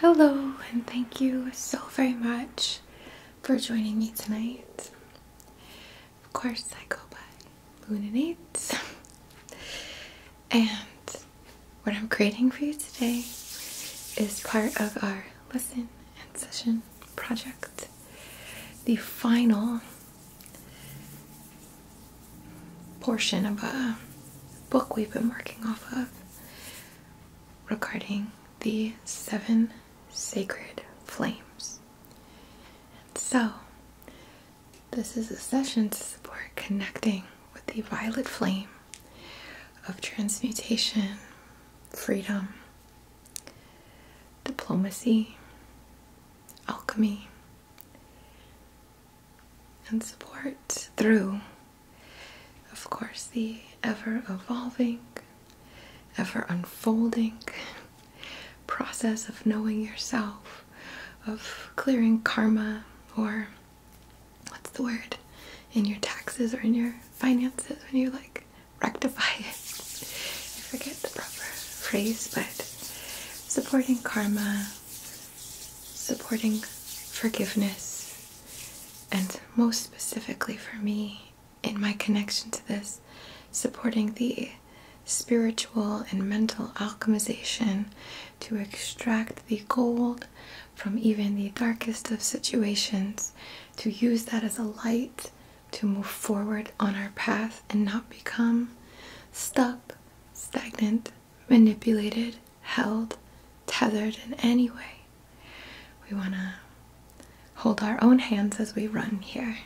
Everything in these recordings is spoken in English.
Hello, and thank you so very much for joining me tonight. Of course, I go by Luninate, and what I'm creating for you today is part of our lesson and session project, the final portion of a book we've been working off of regarding the seven sacred flames. And so, this is a session to support connecting with the violet flame of transmutation, freedom, diplomacy, alchemy, and support through, of course, the ever evolving, ever unfolding process of knowing yourself, of clearing karma, or what's the word, in your taxes or in your finances when you like rectify it. I forget the proper phrase, but supporting karma, supporting forgiveness, and most specifically for me, in my connection to this, supporting the spiritual and mental alchemization to extract the gold from even the darkest of situations, to use that as a light to move forward on our path and not become stuck, stagnant, manipulated, held, tethered in any way. We want to hold our own hands as we run here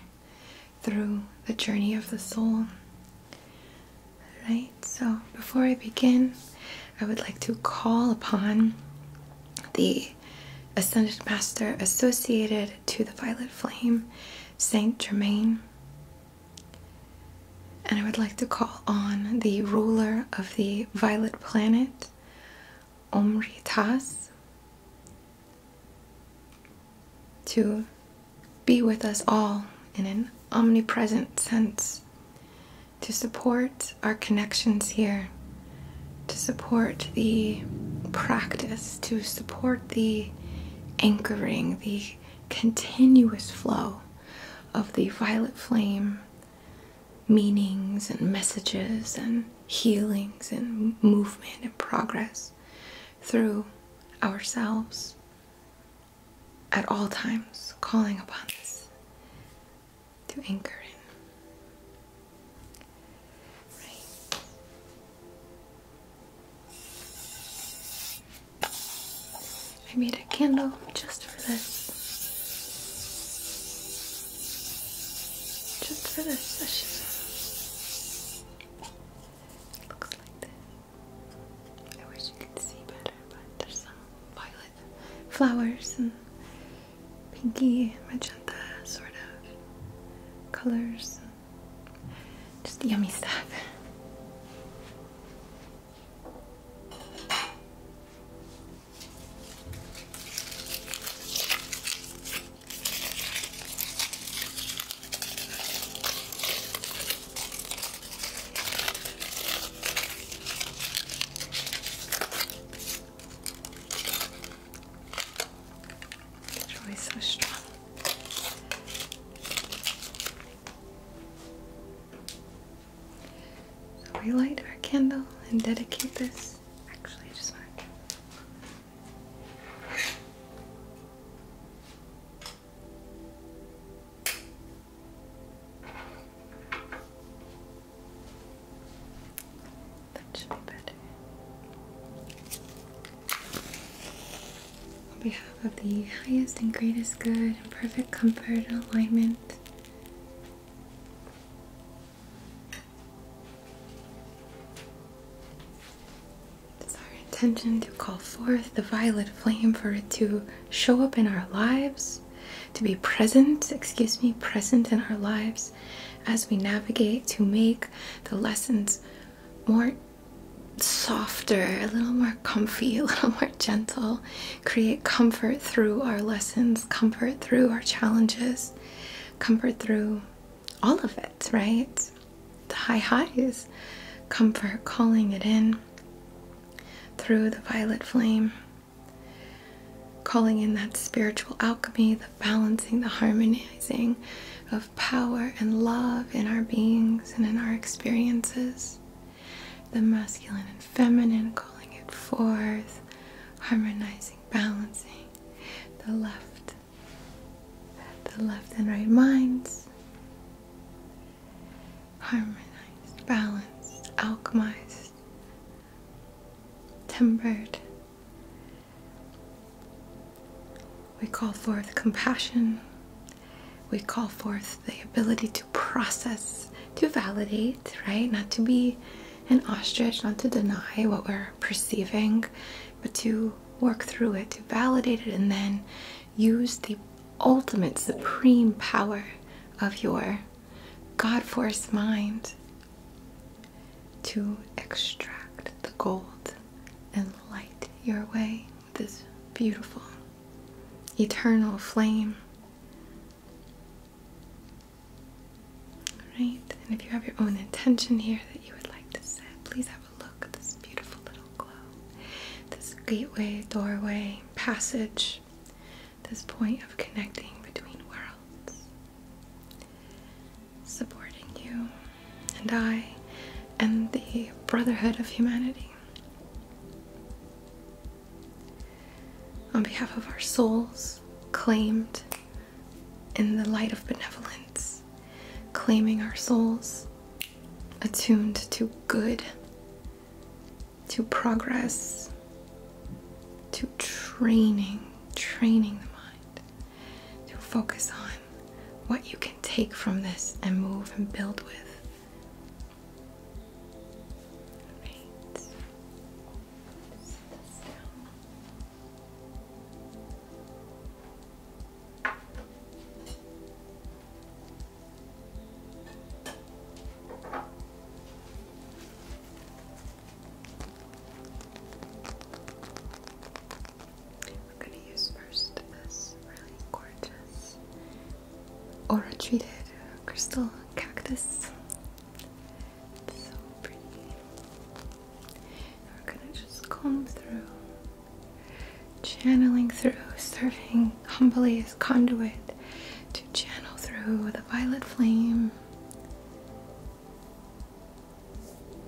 through the journey of the soul. Right, so before I begin, I would like to call upon the Ascended Master associated to the Violet Flame Saint Germain. And I would like to call on the ruler of the violet planet, Omritas, to be with us all in an omnipresent sense, to support our connections here, to support the practice, to support the anchoring the continuous flow of the violet flame meanings and messages and healings and movement and progress through ourselves at all times, calling upon us to anchor in. Right. I made a candle just for this. Just for this session. It looks like this. I wish you could see better, but there's some violet flowers and pinky magenta sort of colors. Just yummy stuff. Joy is so strong. we light our candle and dedicate this. Actually, I just want to. That should be better on behalf of the highest and greatest good and perfect comfort and alignment. It's our intention to call forth the violet flame for it to show up in our lives, to be present, excuse me, present in our lives as we navigate to make the lessons more softer, a little more comfy, a little more gentle, create comfort through our lessons, comfort through our challenges, comfort through all of it, right? The high highs, comfort, calling it in through the violet flame, calling in that spiritual alchemy, the balancing, the harmonizing, of power and love in our beings and in our experiences. The masculine and feminine calling it forth, harmonizing, balancing the left, the left and right minds, harmonized, balanced, alchemized, tempered. We call forth compassion. We call forth the ability to process, to validate, right? Not to be an ostrich, not to deny what we're perceiving, but to work through it, to validate it, and then use the ultimate, supreme power of your God force mind to extract the gold and light your way with this beautiful eternal flame. Alright, and if you have your own intention here that you would like to set, please have a look at this beautiful little glow. This gateway, doorway, passage, this point of connecting between worlds supporting you and I and the brotherhood of humanity. On behalf of our souls, claimed in the light of benevolence, claiming our souls attuned to good, to progress, to training, training the mind to focus on what you can take from this and move and build with. We're gonna use first this really gorgeous aura treated crystal cactus. so pretty. we're gonna just comb through, channeling through, serving humbly as conduit to channel through the violet flame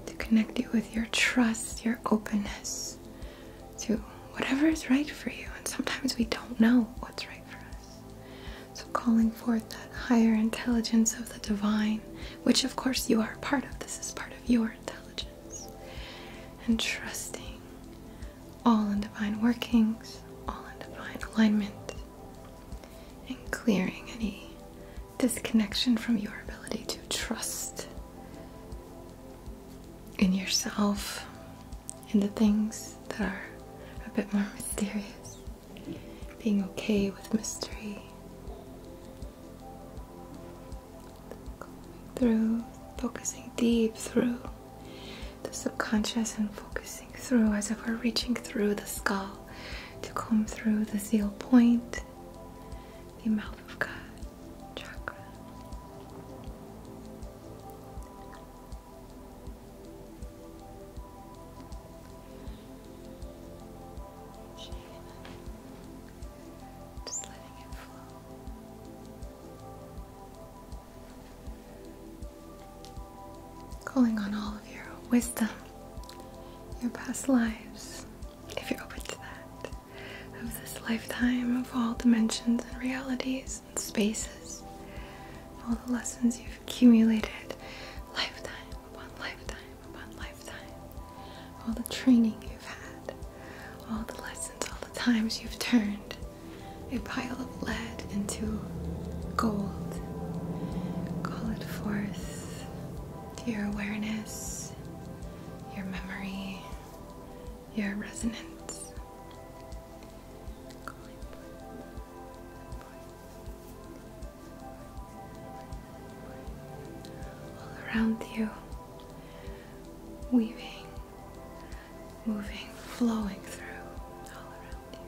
to connect you with your trust, your openness to whatever is right for you. And sometimes we don't know what's right for us. So, calling forth that higher intelligence of the divine, which of course you are part of, this is part of your intelligence, and trusting all in divine workings, all in divine alignment, and clearing any disconnection from your ability to trust in yourself, in the things that are a bit more mysterious, being okay with mystery, through, focusing deep through the subconscious and focusing through as if we're reaching through the skull to come through the seal point, the mouth Calling on all of your wisdom, your past lives, if you're open to that of this lifetime, of all dimensions and realities and spaces, all the lessons you've accumulated, lifetime upon lifetime upon lifetime, all the training you've had, all the lessons, all the times you've turned a pile of lead into gold. Call it forth to your awareness your memory, your resonance. All around you, weaving, moving, flowing through all around you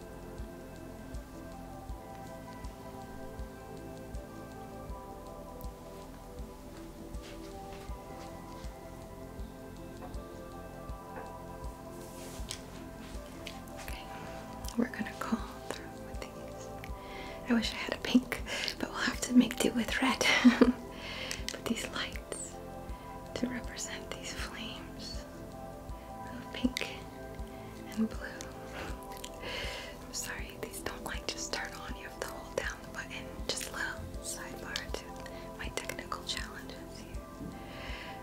we're gonna call through with these. I wish I had a pink, but we'll have to make do with red. Put these lights to represent these flames of pink and blue. sorry, these don't like just turn on, you have to hold down just a little sidebar to my technical challenges here.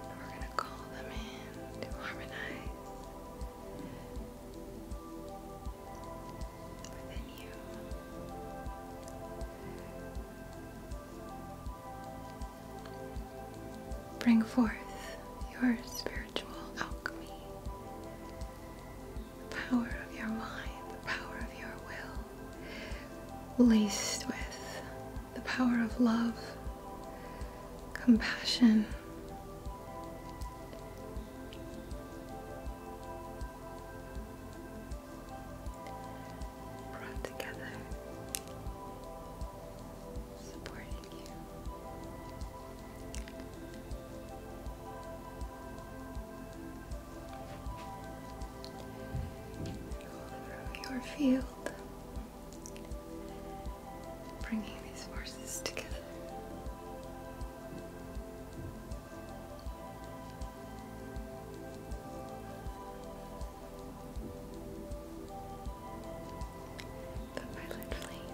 we're gonna call them in to harmonize Bring forth your spiritual alchemy. The power of your mind, the power of your will, laced with the power of love, compassion. Brought together, supporting you through your field, bringing these forces together. The violet flame.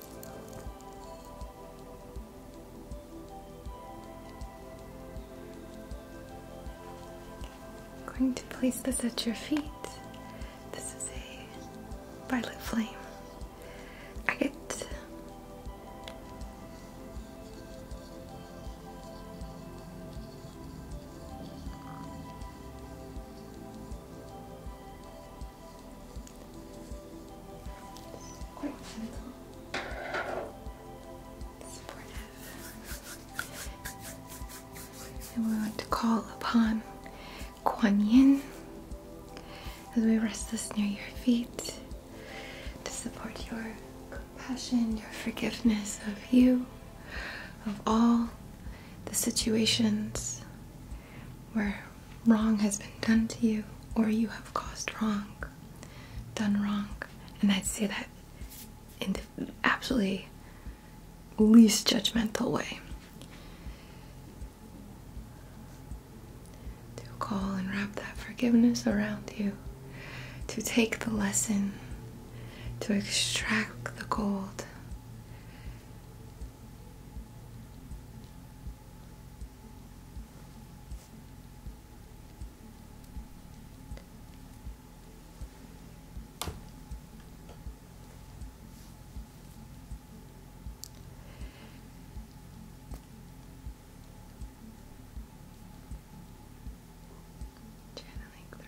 I'm going to place this at your feet. This is a violet flame agate. It's quite gentle. we want to call upon Kuan Yin as we rest this near your feet to support your compassion, your forgiveness of you, of all the situations where wrong has been done to you or you have caused wrong, done wrong. And I'd say that in the absolutely least judgmental way. To call and wrap that forgiveness around you, to take the lesson, to extract the gold, Channeling through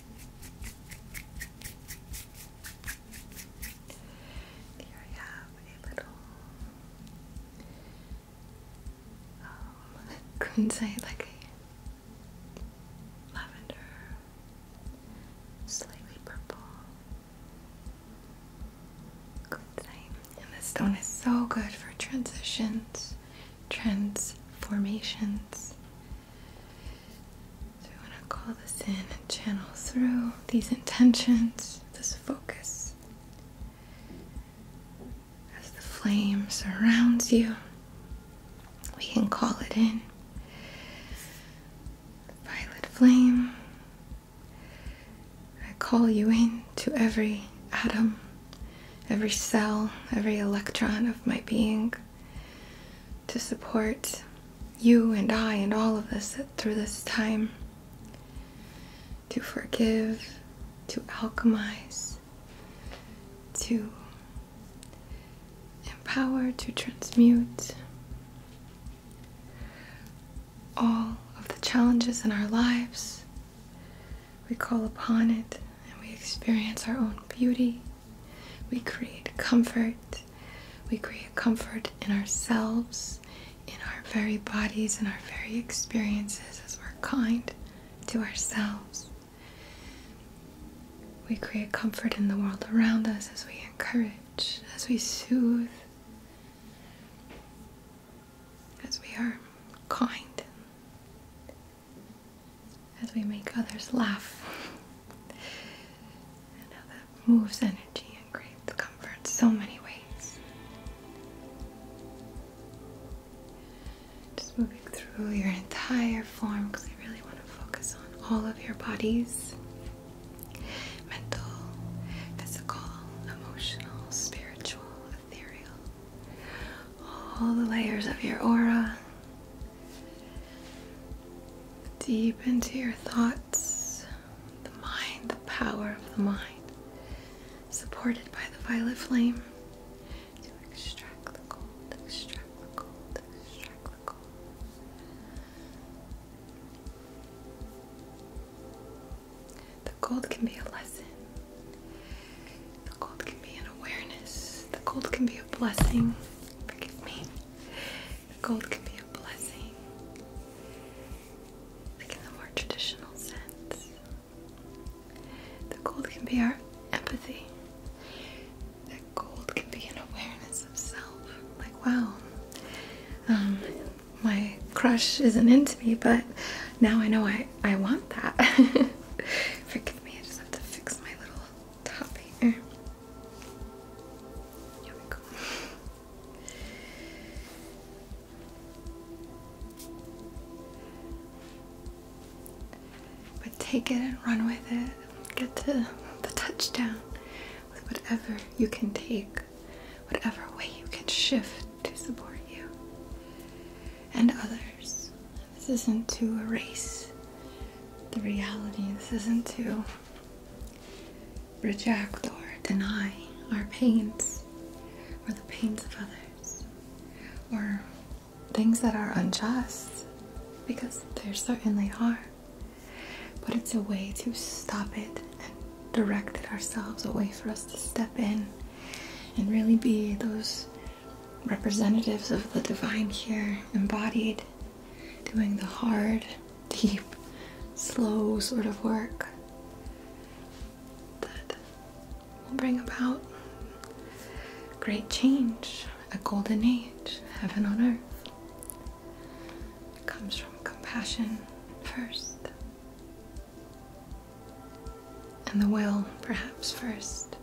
Here I have a little um, couldn't say like a lavender slightly purple good thing. And this stone is so good for transitions, transformations. So I'm going to call this in and channel through these intentions, this focus. As the flame surrounds you, we can call it in. Violet flame, I call you in to every atom, every cell, every electron of my being to support you and I and all of us through this time, to forgive, to alchemize, to empower, to transmute all of the challenges in our lives. We call upon it and we experience our own beauty we create comfort. We create comfort in ourselves, in our very bodies, in our very experiences as we're kind to ourselves. We create comfort in the world around us as we encourage, as we soothe, as we are kind as we make others laugh, and how that moves energy and creates comfort so many ways. Just moving through your entire form because I really want to focus on all of your bodies mental, physical, emotional, spiritual, ethereal, all the layers of your aura. Deep into your thoughts, the mind, the power of the mind, supported by the violet flame to extract the gold, The gold can be a lesson. The gold can be an awareness. The gold can be a blessing. Forgive me. Gold can be a blessing, like in the more traditional sense. The gold can be our empathy. That gold can be an awareness of self. Like, wow, um, my crush isn't into me, but now I know I, I want that. Forgive me, I just have to fix my little top here. But take it and run with it. Get to the touchdown with whatever you can take, whatever way you can shift to support you and others this isn't to erase the reality, this isn't to reject or deny our pains or the pains of others or things that are unjust because there certainly are. But it's a way to stop it and direct it ourselves, a way for us to step in and really be those representatives of the divine here, embodied doing the hard, deep, slow sort of work that will bring about great change, a golden age, heaven on earth. It comes from compassion first, and the will perhaps first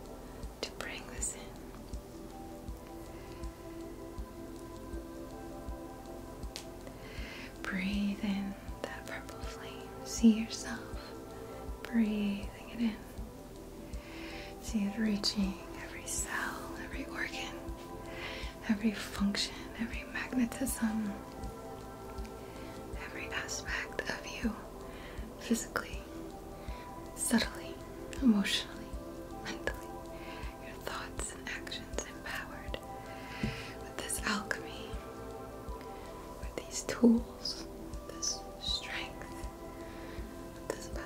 to bring this in. Breathe in that purple flame. See yourself breathing it in. See it reaching every cell, every organ, every function, every magnetism, every aspect of you physically, subtly, emotionally, mentally, your thoughts and actions empowered with this alchemy, with these tools, this strength, with this power.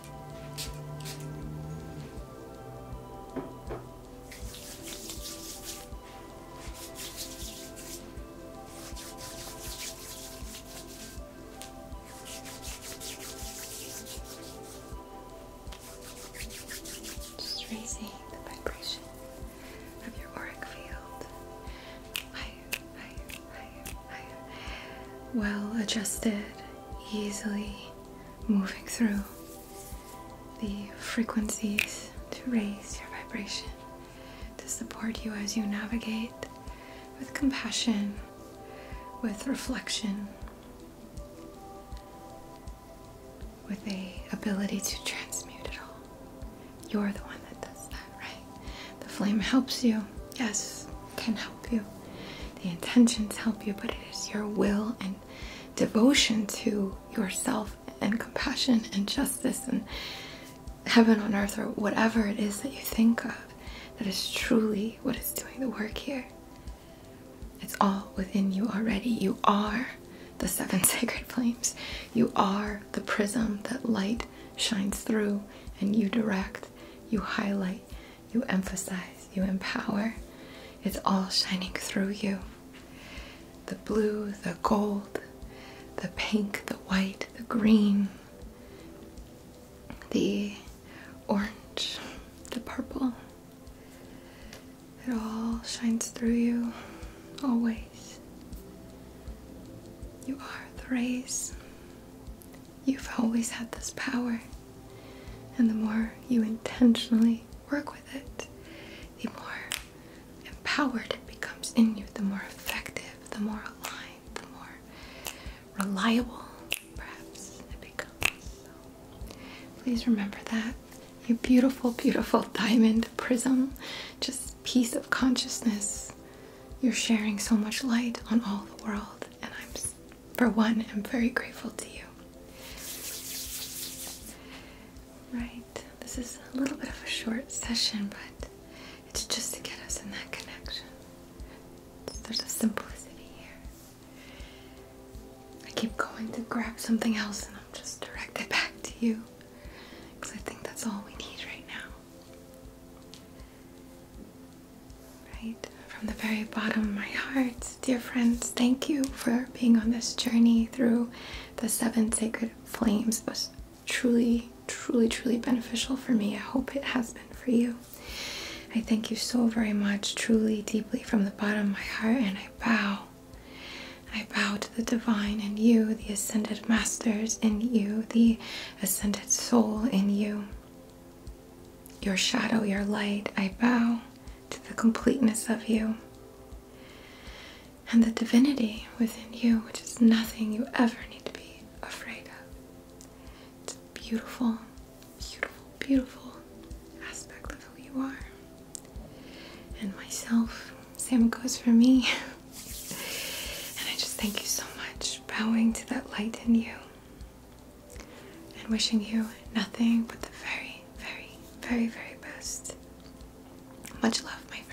Just raising the vibration of your auric field. I well adjusted, easily moving through the frequencies to raise your vibration, to support you as you navigate with compassion, with reflection, with the ability to transmute it all. You're the one that does that, right? The flame helps you, yes, can help you. The intentions help you, but it is your will and devotion to yourself and compassion and justice and heaven on earth or whatever it is that you think of that is truly what is doing the work here. It's all within you already. You are the seven sacred flames. You are the prism that light shines through and you direct, you highlight you emphasize, you empower. It's all shining through you. The blue, the gold, the pink, the white, the green, the orange, the purple. It all shines through you, always. You are the rays You've always had this power, and the more you intentionally work with it, the more empowered it becomes in you, the more effective, the more aligned, the more reliable perhaps it becomes. So please remember that. you beautiful, beautiful diamond prism, just piece of consciousness you're sharing so much light on all the world, and I'm, for one, am very grateful to you. Right, this is a little bit of a short session, but it's just to get us in that connection. There's a simplicity here. I keep going to grab something else, and I'm just directed back to you because I think that's all we need right now. Right? From the very bottom of my heart, dear friends, thank you for being on this journey through the seven sacred flames. It was truly, truly, truly beneficial for me. I hope it has been for you. I thank you so very much, truly, deeply from the bottom of my heart, and I bow. I bow to the divine and you, the ascended masters in you, the ascended soul in you. Your shadow, your light, I bow to the completeness of you and the divinity within you, which is nothing you ever need to be afraid of. It's a beautiful, beautiful, beautiful aspect of who you are. And myself, same goes for me. and I just thank you so much, bowing to that light in you and wishing you nothing but the very, very, very, very best. Much love, my friends.